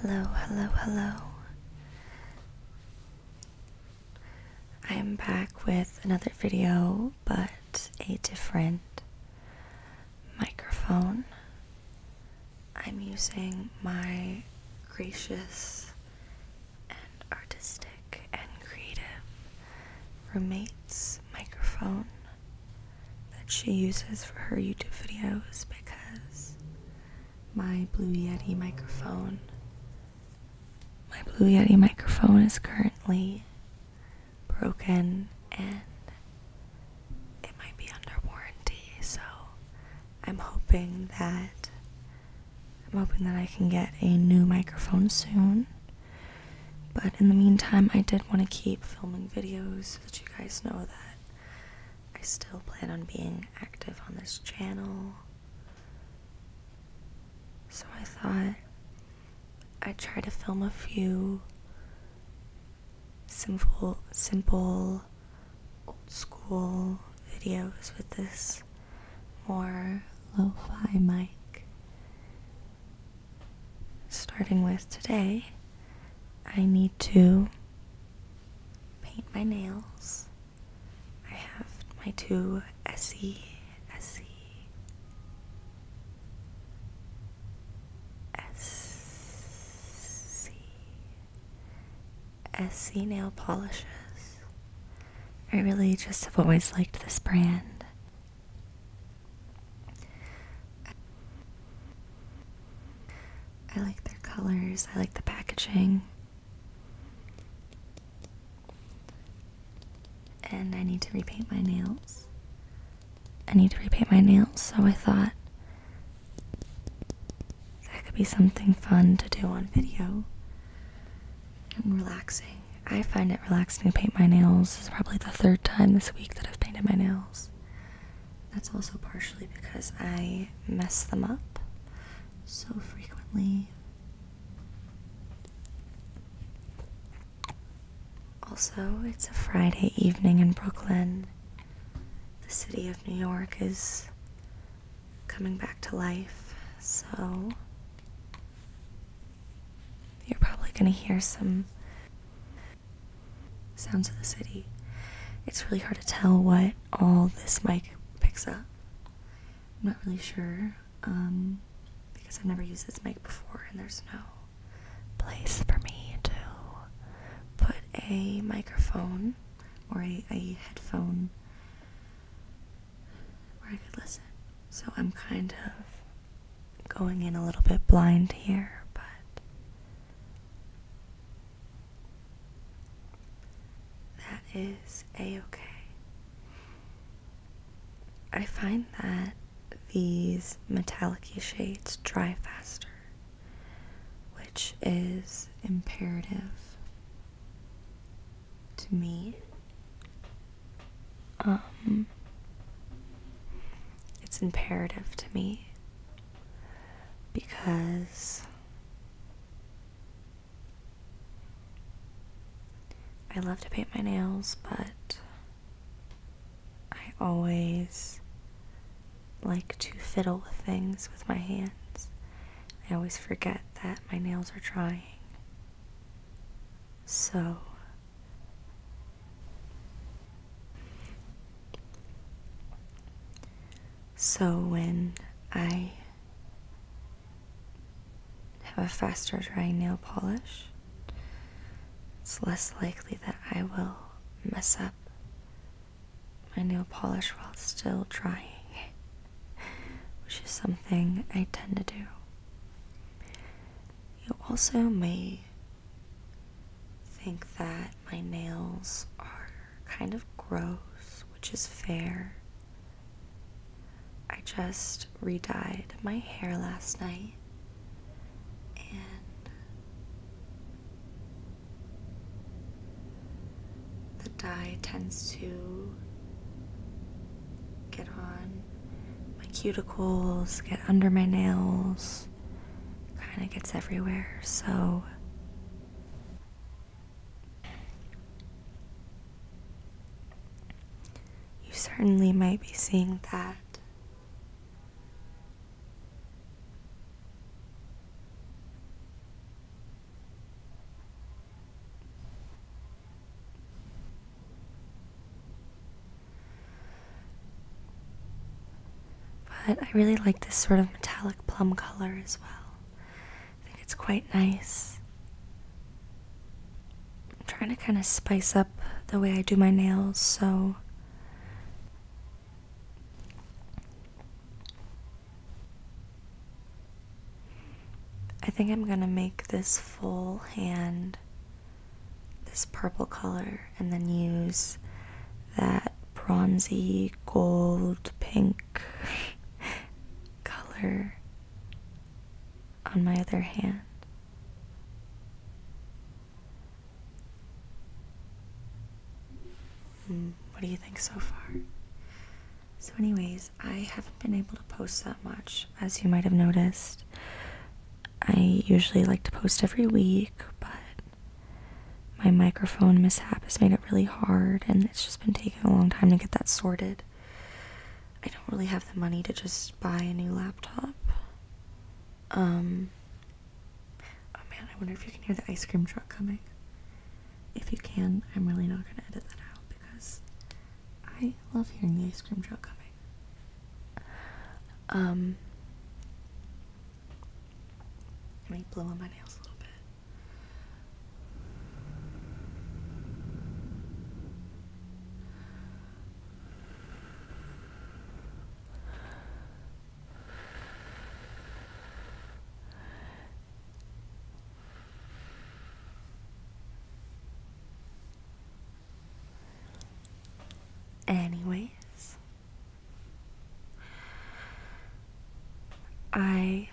Hello, hello, hello. I am back with another video, but a different microphone. I'm using my gracious and artistic and creative roommate's microphone that she uses for her YouTube videos because my Blue Yeti microphone. My Blue Yeti microphone is currently broken and it might be under warranty, so I'm hoping that I'm hoping that I can get a new microphone soon. But in the meantime, I did want to keep filming videos so that you guys know that I still plan on being active on this channel. So I thought I'd try to film a few simple, simple, old school videos with this more lo fi mic. Starting with today, I need to paint my nails. I have my two Essie, Essie, Essie, Essie nail polishes. I really just have always liked this brand. I like their colors, I like the packaging. And I need to repaint my nails. I need to repaint my nails, so I thought that could be something fun to do on video and relaxing. I find it relaxing to paint my nails. This is probably the third time this week that I've painted my nails. That's also partially because I mess them up so frequently. Also, it's a Friday evening in Brooklyn. The city of New York is coming back to life, so you're probably going to hear some sounds of the city. It's really hard to tell what all this mic picks up. I'm not really sure um, because I've never used this mic before, and there's no place for me to put a microphone or a, a headphone where I could listen. So I'm kind of going in a little bit blind here, but that is a okay. I find that these metallicy shades dry faster, which is imperative to me. Um, it's imperative to me because I love to paint my nails, but I always like to fiddle with things with my hands. I always forget that my nails are drying. So, so when I have a faster drying nail polish, it's less likely that I will mess up my nail polish while still drying, which is something I tend to do. You also may think that my nails are kind of gross, which is fair. I just re dyed my hair last night and the dye tends to get on my cuticles, get under my nails, kind of gets everywhere. So you certainly might be seeing that. But I really like this sort of metallic plum color as well. I think it's quite nice. I'm trying to kind of spice up the way I do my nails, so. I think I'm gonna make this full hand this purple color and then use that bronzy gold pink color on my other hand. Hmm, what do you think so far? So, anyways, I haven't been able to post that much, as you might have noticed. I usually like to post every week, but my microphone mishap has made it really hard, and it's just been taking a long time to get that sorted. I don't really have the money to just buy a new laptop. Um, oh man, I wonder if you can hear the ice cream truck coming. If you can, I'm really not gonna edit that out because I love hearing the ice cream truck coming. Um, let blow on my nails a little bit. Anyways, I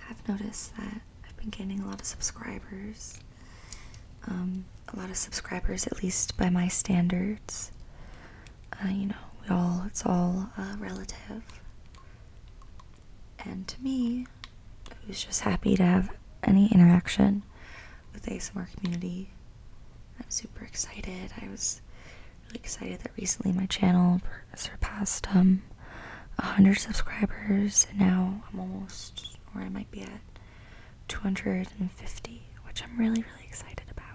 have noticed that I've been gaining a lot of subscribers. Um, a lot of subscribers, at least by my standards. Uh, you know, we all, it's all uh, relative and to me, was just happy to have any interaction with ASMR community. I'm super excited. I was really excited that recently my channel surpassed um 100 subscribers, and now I'm almost, or I might be at 250, which I'm really really excited about.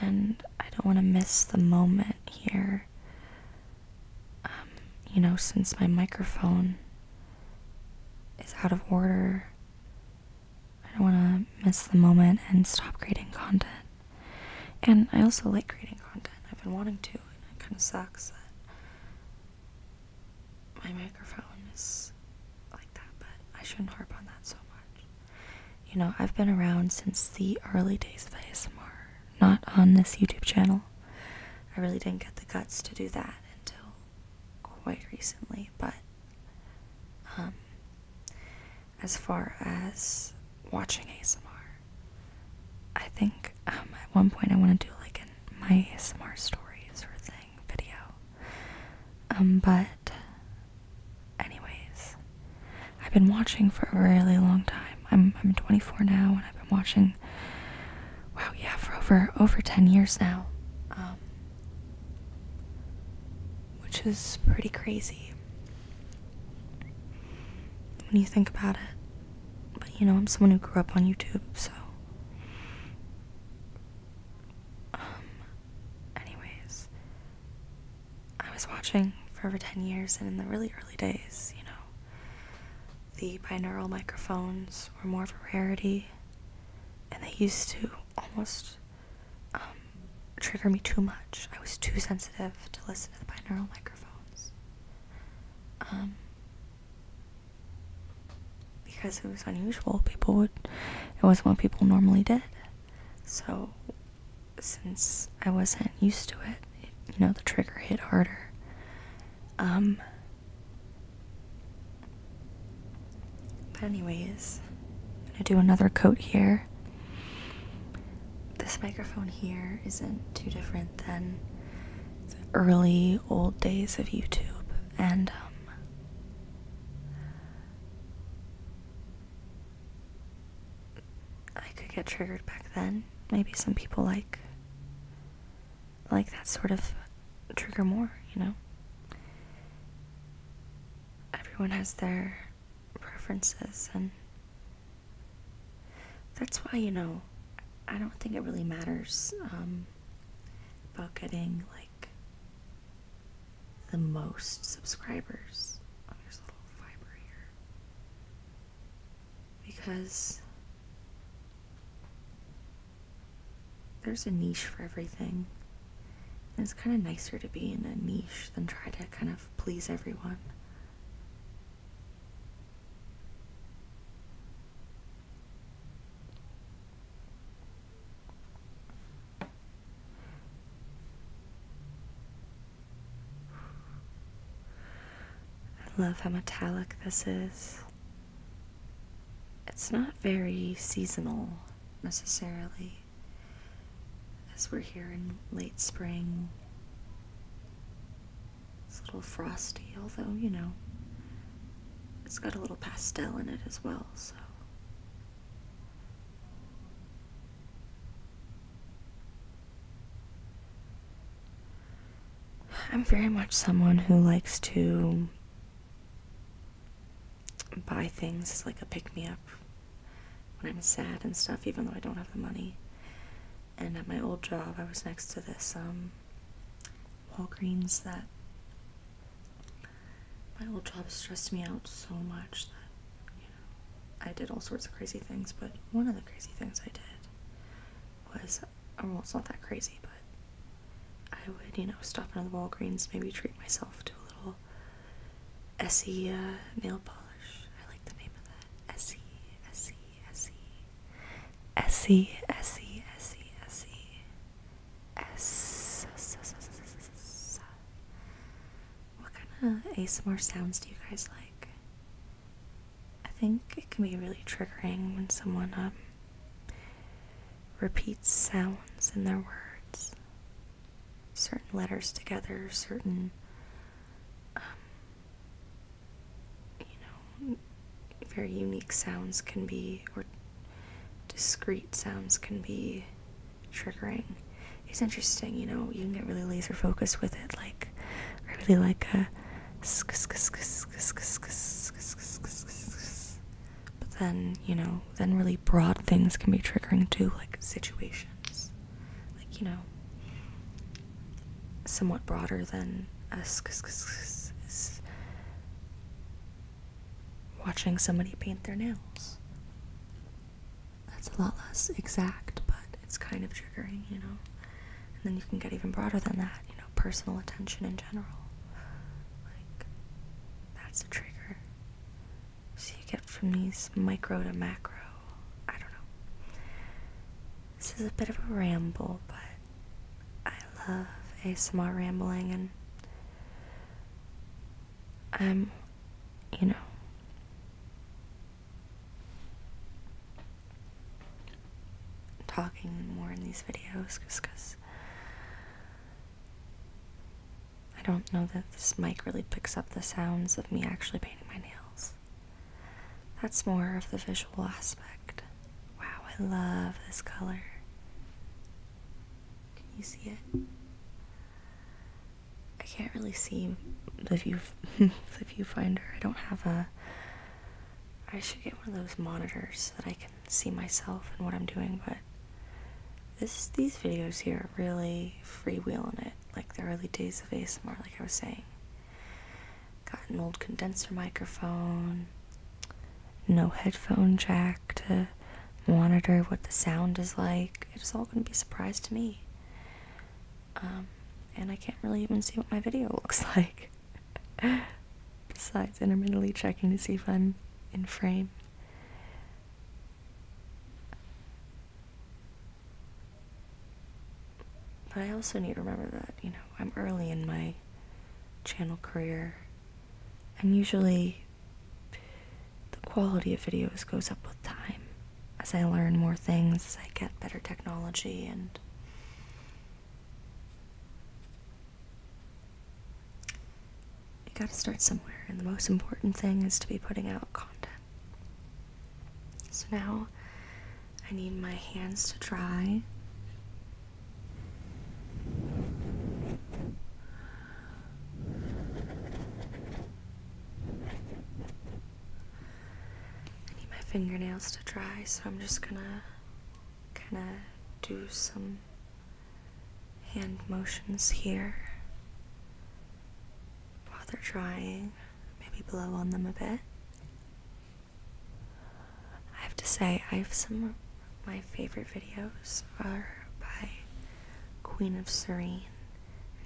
And I don't want to miss the moment here. Um, you know, since my microphone is out of order, I don't want to miss the moment and stop creating content. And I also like creating content, I've been wanting to, and it kind of sucks that my microphone is like that, but I shouldn't harp on that so much. You know, I've been around since the early days of ASMR, not on this YouTube channel. I really didn't get the guts to do that until quite recently, but um, as far as watching ASMR, I think um, at one point I want to do like my ASMR stories or thing video. Um, but anyways, I've been watching for a really long time. I'm I'm 24 now, and I've been watching. Wow, yeah, for over over 10 years now, um, which is pretty crazy when you think about it. But you know, I'm someone who grew up on YouTube, so. Um, anyways, I was watching for over 10 years, and in the really early days, you know, the binaural microphones were more of a rarity, and they used to almost um, trigger me too much. I was too sensitive to listen to the binaural microphones. Um, because it was unusual, people would, it wasn't what people normally did. So, since I wasn't used to it, you know, the trigger hit harder. Um, but, anyways, I'm gonna do another coat here. This microphone here isn't too different than the early old days of YouTube, and um, I could get triggered back then. Maybe some people like like that sort of trigger more, you know. Everyone has their preferences and that's why, you know, I don't think it really matters um, about getting like the most subscribers. there's a little fiber here. Because there's a niche for everything. And it's kind of nicer to be in a niche than try to kind of please everyone. I love how metallic this is. It's not very seasonal necessarily, as we're here in late spring. It's a little frosty, although, you know, it's got a little pastel in it as well, so I'm very much someone who likes to buy things as like a pick me up when I'm sad and stuff, even though I don't have the money. And at my old job, I was next to this um, Walgreens that my old job stressed me out so much that you know I did all sorts of crazy things. But one of the crazy things I did was uh, well, it's not that crazy, but I would you know stop into the Walgreens, maybe treat myself to a little Essie uh, nail polish. I like the name of that Essie, Essie, Essie, Essie, Essie, Essie, Essie. S. What kind of ASMR sounds do you guys like? I think it can be really triggering when someone um, repeats sounds in their words, certain letters together, certain, um, you know, very unique sounds can be, or discrete sounds can be triggering It's interesting. You know, you can get really laser focused with it. Like, I really like a. But then, you know, then really broad things can be triggering too, like situations. Like, you know, somewhat broader than a watching somebody paint their nails. That's a lot less exact, but it's kind of triggering, you know? And then you can get even broader than that, you know, personal attention in general. Like, that's a trigger. So you get from these micro to macro. I don't know. This is a bit of a ramble, but I love a ASMR rambling and I'm, you know. Talking more in these videos because I don't know that this mic really picks up the sounds of me actually painting my nails. That's more of the visual aspect. Wow, I love this color. Can you see it? I can't really see the view the viewfinder. I don't have a I should get one of those monitors so that I can see myself and what I'm doing, but this these videos here are really freewheeling it, like the early days of ASMR, like I was saying. Got an old condenser microphone, no headphone jack to monitor what the sound is like. It's all going to be a surprise to me. Um, and I can't really even see what my video looks like. Besides intermittently checking to see if I'm in frame. But I also need to remember that, you know, I'm early in my channel career. And usually the quality of videos goes up with time. As I learn more things, as I get better technology and you gotta start somewhere, and the most important thing is to be putting out content. So now I need my hands to dry I need my fingernails to dry, so I'm just gonna kind of do some hand motions here while they're drying. Maybe blow on them a bit. I have to say, I have some of my favorite videos are by Queen of Serene.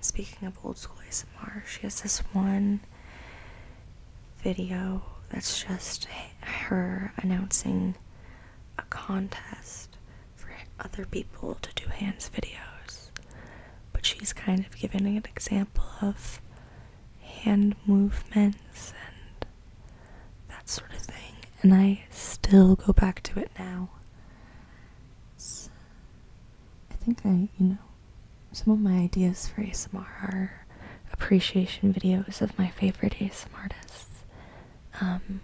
speaking of old school ASMR, she has this one video that's just her announcing a contest for other people to do hands videos. But she's kind of giving an example of hand movements and that sort of thing, and I still go back to it now. I think I, you know, some of my ideas for ASMR are appreciation videos of my favorite ASMR artists. Um,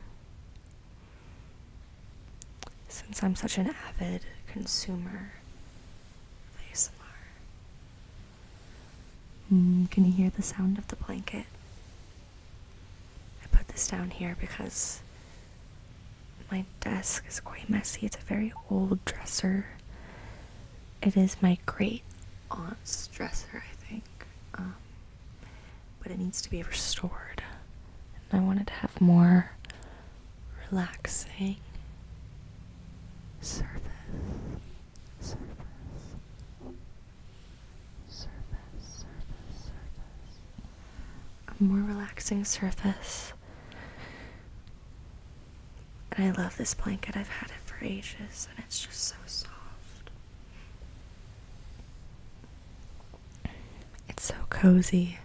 since I'm such an avid consumer of ASMR, Mm, can you hear the sound of the blanket? I put this down here because my desk is quite messy. It's a very old dresser. It is my great aunt's dresser, I think. Um, but it needs to be restored. And I wanted to have more relaxing surface surface, surface, surface, surface. A more relaxing surface. And I love this blanket. I've had it for ages and it's just so soft. It's so cozy.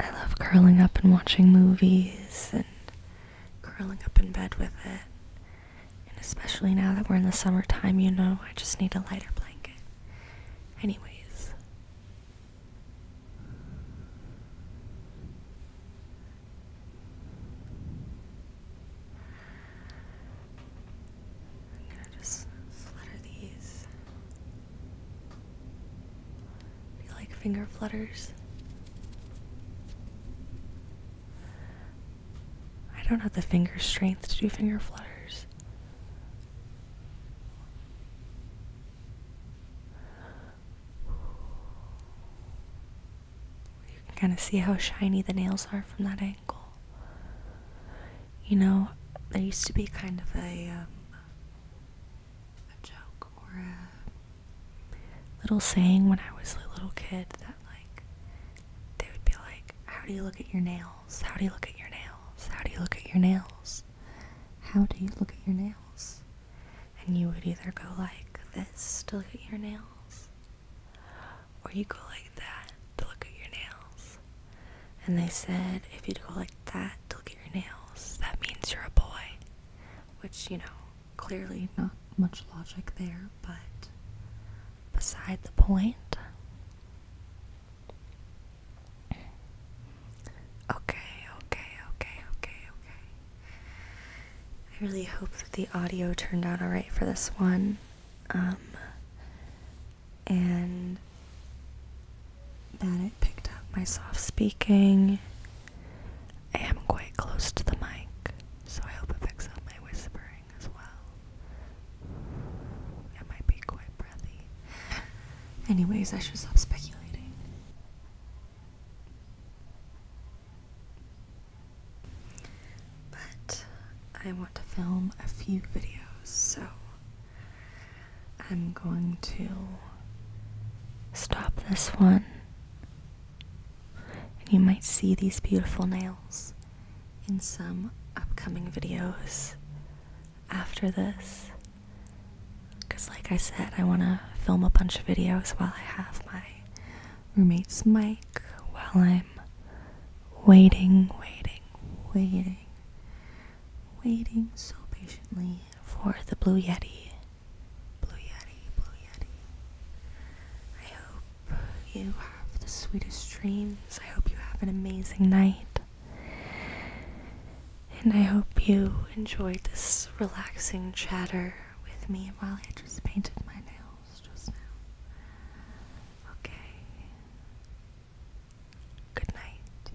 I love curling up and watching movies and curling up in bed with it. And especially now that we're in the summertime, you know, I just need a lighter blanket. Anyways. I'm gonna just flutter these like finger flutters? I don't have the finger strength to do finger flutters. You can kind of see how shiny the nails are from that angle. You know, there used to be kind of a um, a joke or a little saying when I was a little kid that like they would be like, How do you look at your nails? How do you look at your nails? How do you look at your nails? How do you look at your nails? And you would either go like this to look at your nails or you go like that to look at your nails. And they said if you go like that to look at your nails, that means you're a boy. Which, you know, clearly not much logic there, but beside the point. Okay, okay, okay, okay, okay. I really hope that the audio turned out alright for this one. Um, and that it picked up my soft speaking. I am quite close to the mic, so I hope it picks up my whispering as well. It might be quite breathy. Anyways, I should stop speculating. But I want to film a few videos, so I'm going to stop this one. And you might see these beautiful nails in some upcoming videos after this. Because, like I said, I want to film a bunch of videos while I have my roommate's mic, while I'm waiting, waiting, waiting, waiting so patiently for the Blue Yeti. Blue Yeti, Blue Yeti. I hope you have the sweetest dreams. I hope you have an amazing night. And I hope you enjoyed this relaxing chatter with me while I just painted my nails just now. Okay. Good night.